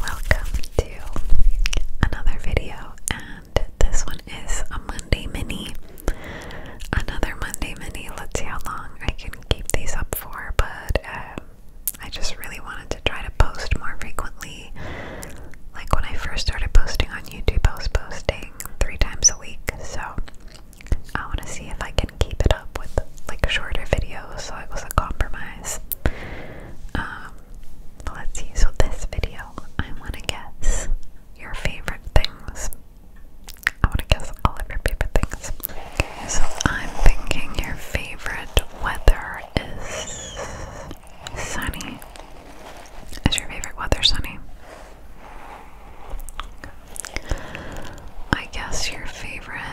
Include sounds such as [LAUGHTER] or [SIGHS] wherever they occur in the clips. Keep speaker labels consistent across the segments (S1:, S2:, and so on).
S1: Welcome to another video, and this one is a Monday mini. Another Monday mini. Let's see how long I can keep these up for, but um, I just really wanted to try to post more frequently. Like when I first started posting on YouTube, I was posting three times a week, so I want to see if I can keep it up with like shorter videos, so it was a compromise. Um, let's see. So this video, I want to guess your favorite things. I want to guess all of your favorite things. so I'm thinking your favorite weather is sunny. Is your favorite weather sunny? I guess your favorite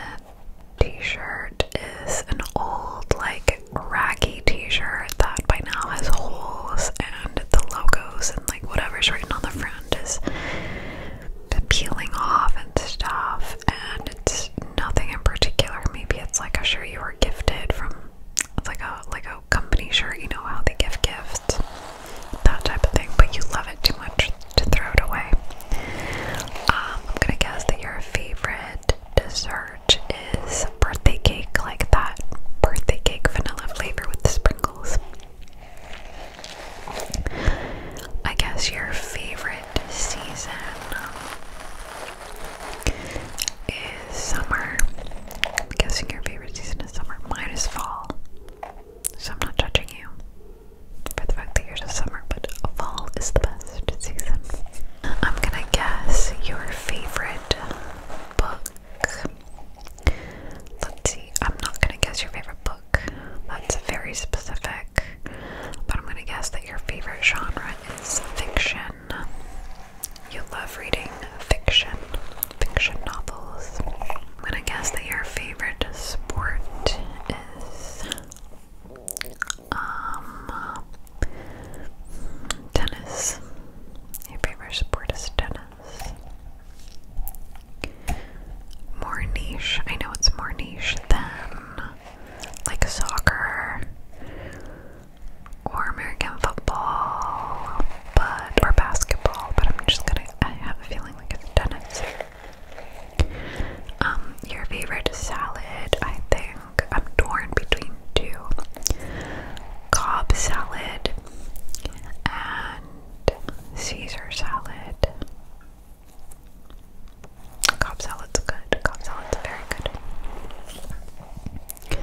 S1: t-shirt is an old like raggy t-shirt that by now has holes and the logos and like whatever's written on the front is peeling off and stuff and it's nothing in particular. Maybe it's like a shirt you were gifted from like a like a company shirt, you know how they give gifts, that type of thing, but you love it too much to throw it away. Um, I'm gonna guess that your favorite dessert is birthday cake, like that birthday cake vanilla flavor with the sprinkles. I guess your favorite season is summer. I'm guessing your favorite season is summer. minus fall. So I'm not judging you for the fact that you're just summer, but fall is the best season. I'm gonna guess your favorite book. Let's see, I'm not gonna guess your favorite book. That's very specific. But I'm gonna guess that your favorite genre is fiction. You love reading fiction, fiction novels. I'm gonna guess that your favorite sport is um tennis. Your favorite sport is tennis. More niche. I know it's more niche than like soccer or American football, but or basketball. But I'm just gonna. I have a feeling like it's tennis. Um, your favorite salad, I think. I'm torn between two. Cobb salad and Caesar salad. Cobb salad's good. Cobb salad's very good.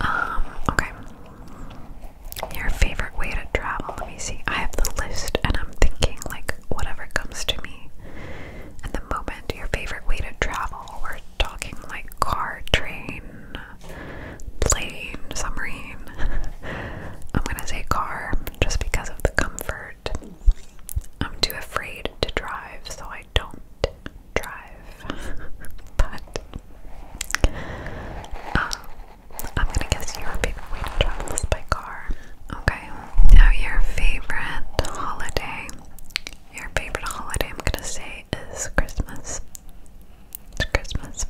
S1: Um, okay. Your favorite way to travel? Let me see. I have the list and I'm thinking like whatever comes to me. At the moment, your favorite way to travel? We're talking like car, train, plane, submarine. [LAUGHS] I'm gonna say car just because of the comfort. I'm too afraid to drive, so I don't drive. [LAUGHS] but um, I'm gonna guess your favorite way to travel is by car. Okay, now your favorite holiday. Your favorite holiday, I'm gonna say, is Christmas. It's Christmas.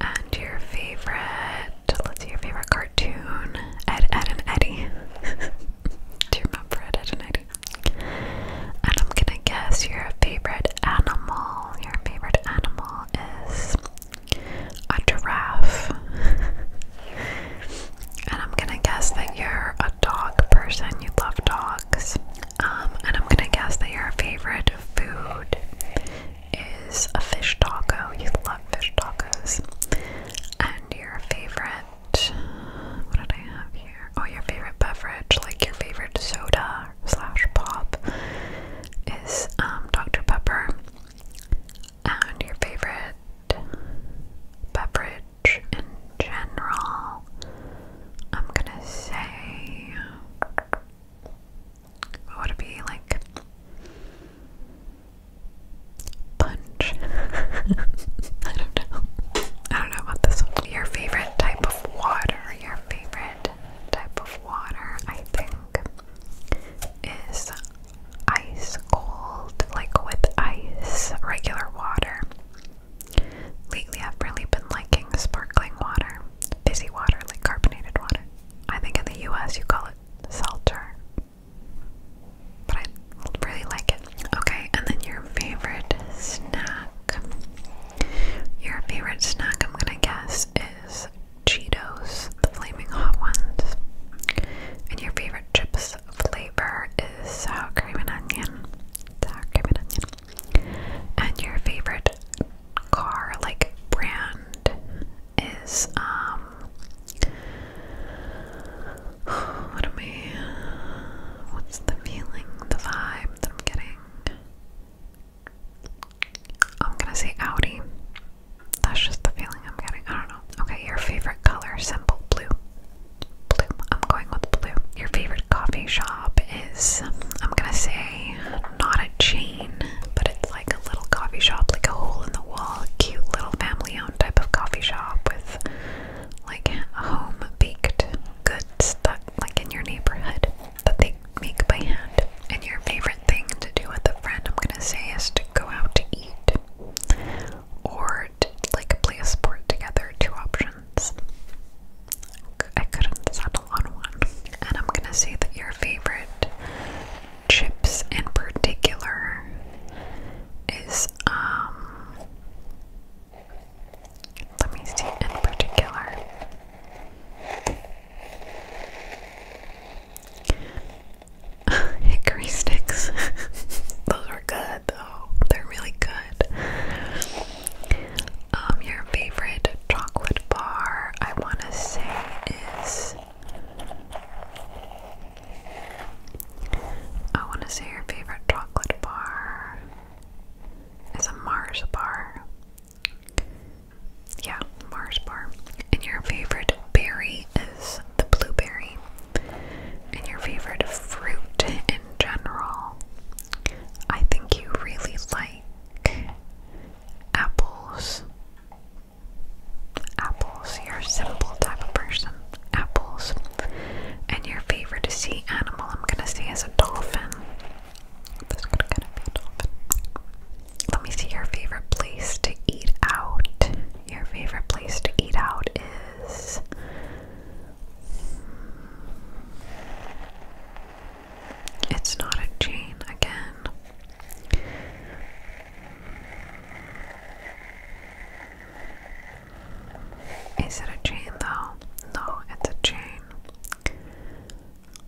S1: And your favorite, let's see, your favorite cartoon, Ed, Ed and Eddie. [LAUGHS] Do you remember Ed, and Eddie? And I'm gonna guess your favorite animal. Your favorite animal is a giraffe. [LAUGHS] and I'm gonna guess that you're a dog person, you love dogs. Um, and I'm gonna guess that your favorite food is a fish taco. You love fish tacos. And your favorite, what did I have here? Oh, your favorite beverage, like your favorite soda slash, pop is um, Dr. Pepper. And your favorite beverage in general, I'm gonna say, would it be like? Punch. [LAUGHS] I don't know. I don't know about this one. Your favorite type of water, your favorite type of water, I think, is ice cold, like with ice, regular water. Lately, I've really been liking sparkling water, fizzy water, like carbonated water. I think in the US you call it seltzer, but I really like it. Okay, and then your favorite snack. Your favorite snack, I'm gonna guess, is Cheetos, the flaming hot ones. And your favorite chips flavor is sour cream and onion. Sour cream and onion. And your favorite car, like brand, is um. [SIGHS] What am I? What's the feeling, the vibe that I'm getting? I'm gonna say Audi. That's just the feeling I'm getting. I don't know. Okay, your favorite color, simple blue. Blue. I'm going with blue. Your favorite coffee shop is, I'm gonna say, not a chain, but it's like a little coffee shop, like a hole in the wall, cute little family owned type of coffee shop with like home baked good stuff that like in your neighborhood that they make by hand. And your favorite thing to do with a friend, I'm gonna say, is to go out to eat or to, like play a sport together. Two options. I couldn't settle on one. And I'm gonna say that your favorite chips in particular is um let me see in particular. [LAUGHS] Hickory sticks. [LAUGHS] Those are good though. They're really good. Um, your favorite chocolate bar, I want to say, is. I want to say your favorite chocolate bar is a Mars bar. Yeah, Mars bar. And your favorite berry is the blueberry. And your favorite fruit in general, I think you really like apples. Apples, you're a simple type of person. Apples. And your favorite sea animal, I'm gonna say, is a dolphin. This could kind of be a dolphin. Let me see your favorite place to eat out. Your favorite place to eat out is. Hmm, it's not a chain again. Is it a chain though? No, it's a chain.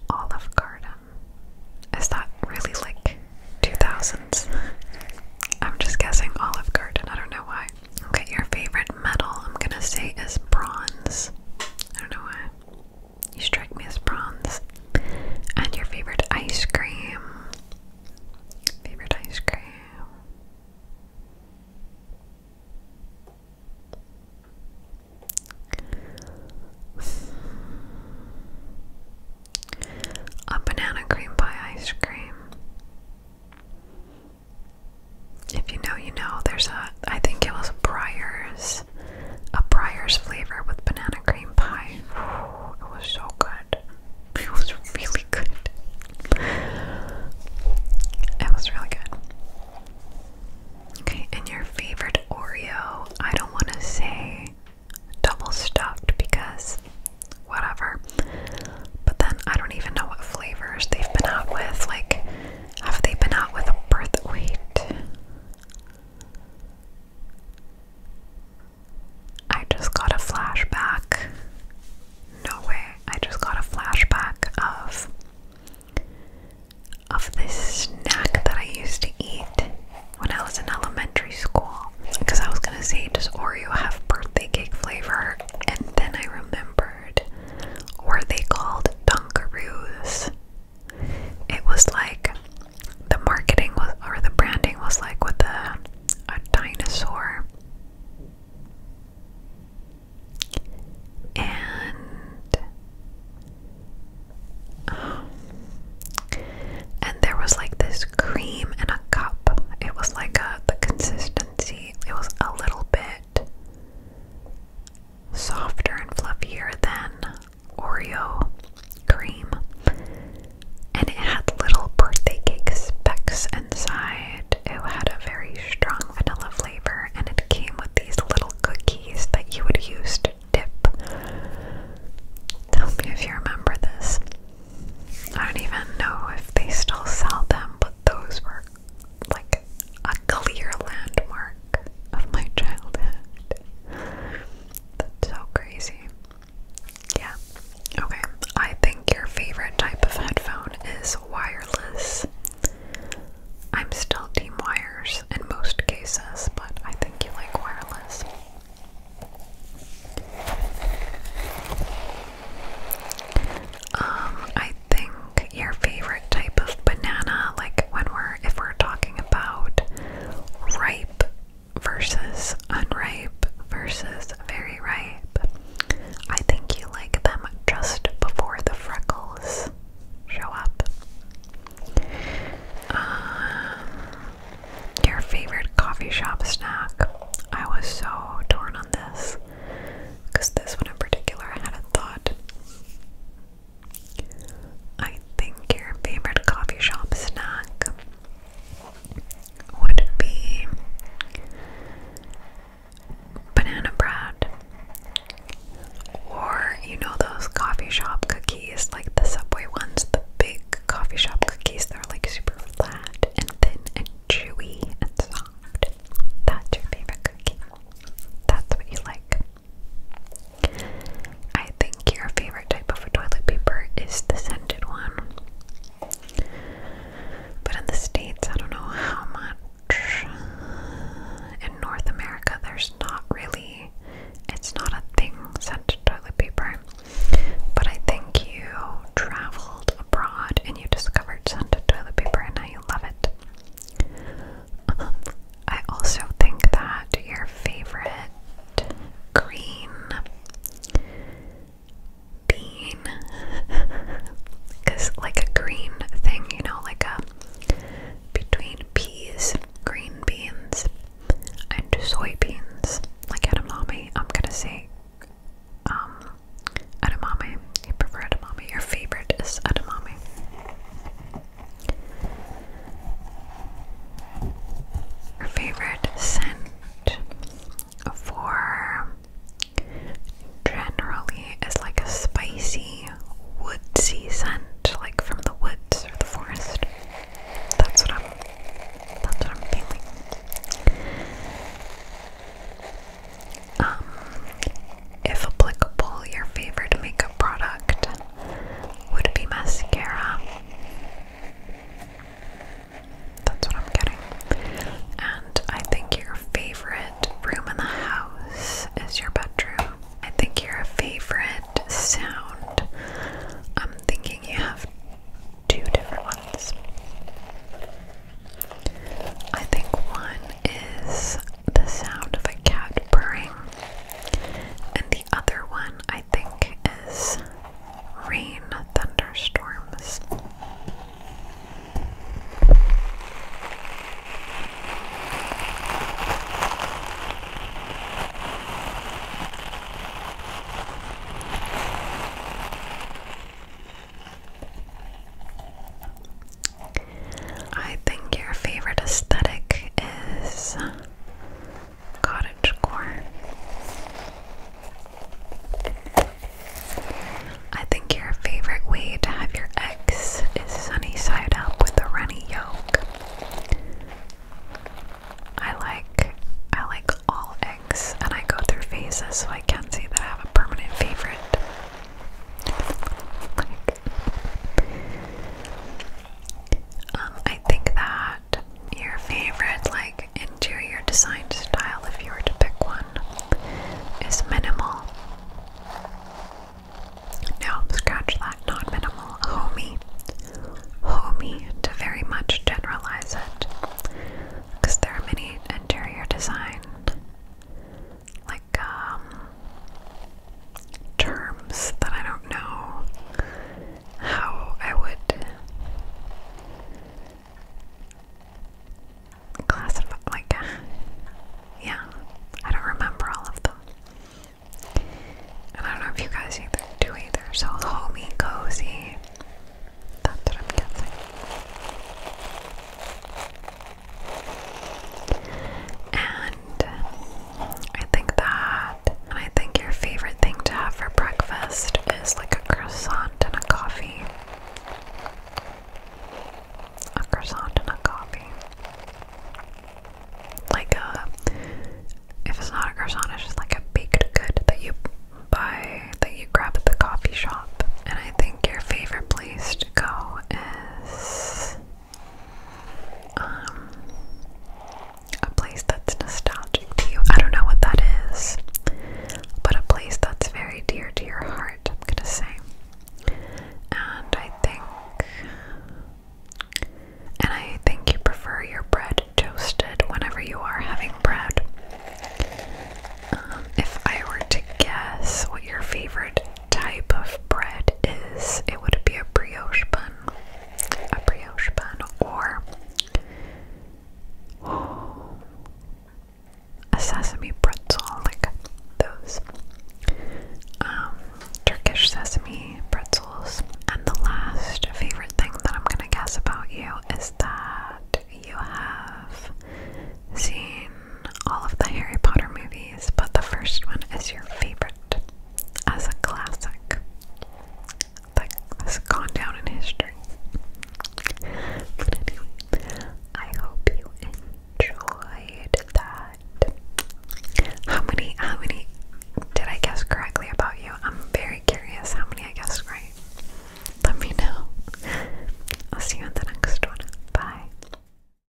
S1: Olive Garden. Is that really like 2000s? I'm just guessing Olive Garden, I don't know why. Okay, your favorite metal I'm gonna say is bronze. I don't know why. You strike me as bronze. And your favorite ice cream. Favorite ice cream. A banana cream pie ice cream. If you know, you know. There's a, I think it was a Briars, a Briars flavor with banana cream pie. it was so good. It was really good. It was really good. Okay, and your favorite Oreo? I don't want to say double stuffed because whatever. But then I don't even know what flavors they've been out with. Like, have they been out with a birth weight? I just got a flashback no way. I just got a flashback of of this snack that I used to eat when I was in elementary school. Because I was gonna say, does Oreo have birthday cake flavor? And then I remembered, or they called Dunkaroos? It was like the marketing was, or the branding was like with a a dinosaur and [GASPS] and there was like this cream in a cup. It was like a the consistency. It was a little bit softer and fluffier than Oreo cream, and it had little birthday cake specks inside. It had a very strong vanilla flavor, and it came with these little cookies that you would use to dip. Tell me if you remember this. I don't even know if they still sell them, but those were like a clear landmark of my childhood. That's so crazy. Yeah. Okay. I think your favorite type of headphone is wireless. I'm still team wires in most cases, but I think you like wireless. Um, I think your favorite type of banana, like when we're if we're talking about ripe versus unripe versus very ripe. I think you like them just before the freckles show up. Um, your favorite coffee shop snack. I was so torn on this because this one in particular I had a thought. I think your favorite coffee shop snack would be banana bread. Or, you know, those coffee shop cookies, like the Subway ones, the big coffee shop cookies, they're like super flat and thin and chewy and soft. That's your favorite cookie. That's what you like. I think your favorite type of toilet paper is the scented one. But in the States, I don't know how much. In North America, there's not really, it's not a thing, scented toilet paper. But I think you traveled abroad and you discovered scented toilet paper and now you love it. I also think that your favorite green bean because [LAUGHS] like a green thing you know like a between peas green beans and soybeans like edamame I'm gonna say um edamame you prefer edamame your favorite is edamame your favorite scent for generally is like a spicy, woodsy scent, like from the woods or the forest. That's what I'm. That's what I'm feeling. Um, if applicable, your favorite makeup product would be mascara. That's what I'm getting. And I think your favorite room in the house is your bedroom. I think your favorite sound. I'm thinking you have two different ones. I think one is the sound of a cat purring. And the other one I think is rain thunderstorms. I think your favorite aesthetic is cottagecore. I think your favorite way to have your eggs is sunny side up with a runny yolk. I like I like all eggs and I go through phases so I can't say that I have a permanent favorite. Um, I think that your favorite like interior design style, if you were to pick one, is minimal. No, scratch that, not minimal, homey. Homey to very much generalize it. Because there are many interior design like um terms that I don't know how I would classify. Like, yeah, I don't remember all of them. And I don't know if you guys either do either. So, homey, cozy. That's what I'm guessing. And I think that. And I think your favorite thing to have for breakfast is like a croissant and a coffee. A croissant and a coffee. Like a. If it's not a croissant, it's just like a baked good that you buy, that you grab at the coffee shop. And I think your favorite place to go is um, a place that's nostalgic to you. I don't know what that is, but a place that's very dear to your heart, I'm gonna say. And I think, and I think you prefer your bread toasted whenever you are having bread. Um, if I were to guess what your favorite type of bread is, it would be a brioche bun, a brioche bun, or [GASPS] a sesame pretzel, like those um, Turkish sesame pretzels. And the last favorite thing that I'm gonna guess about you is that you have seen all of the Harry Potter movies, but the first one is your favorite as a classic that has gone down in history. But anyway, I hope you enjoyed that. How many, how many did I guess correctly about you? I'm very curious how many I guessed right. Let me know. I'll see you in the next one. Bye.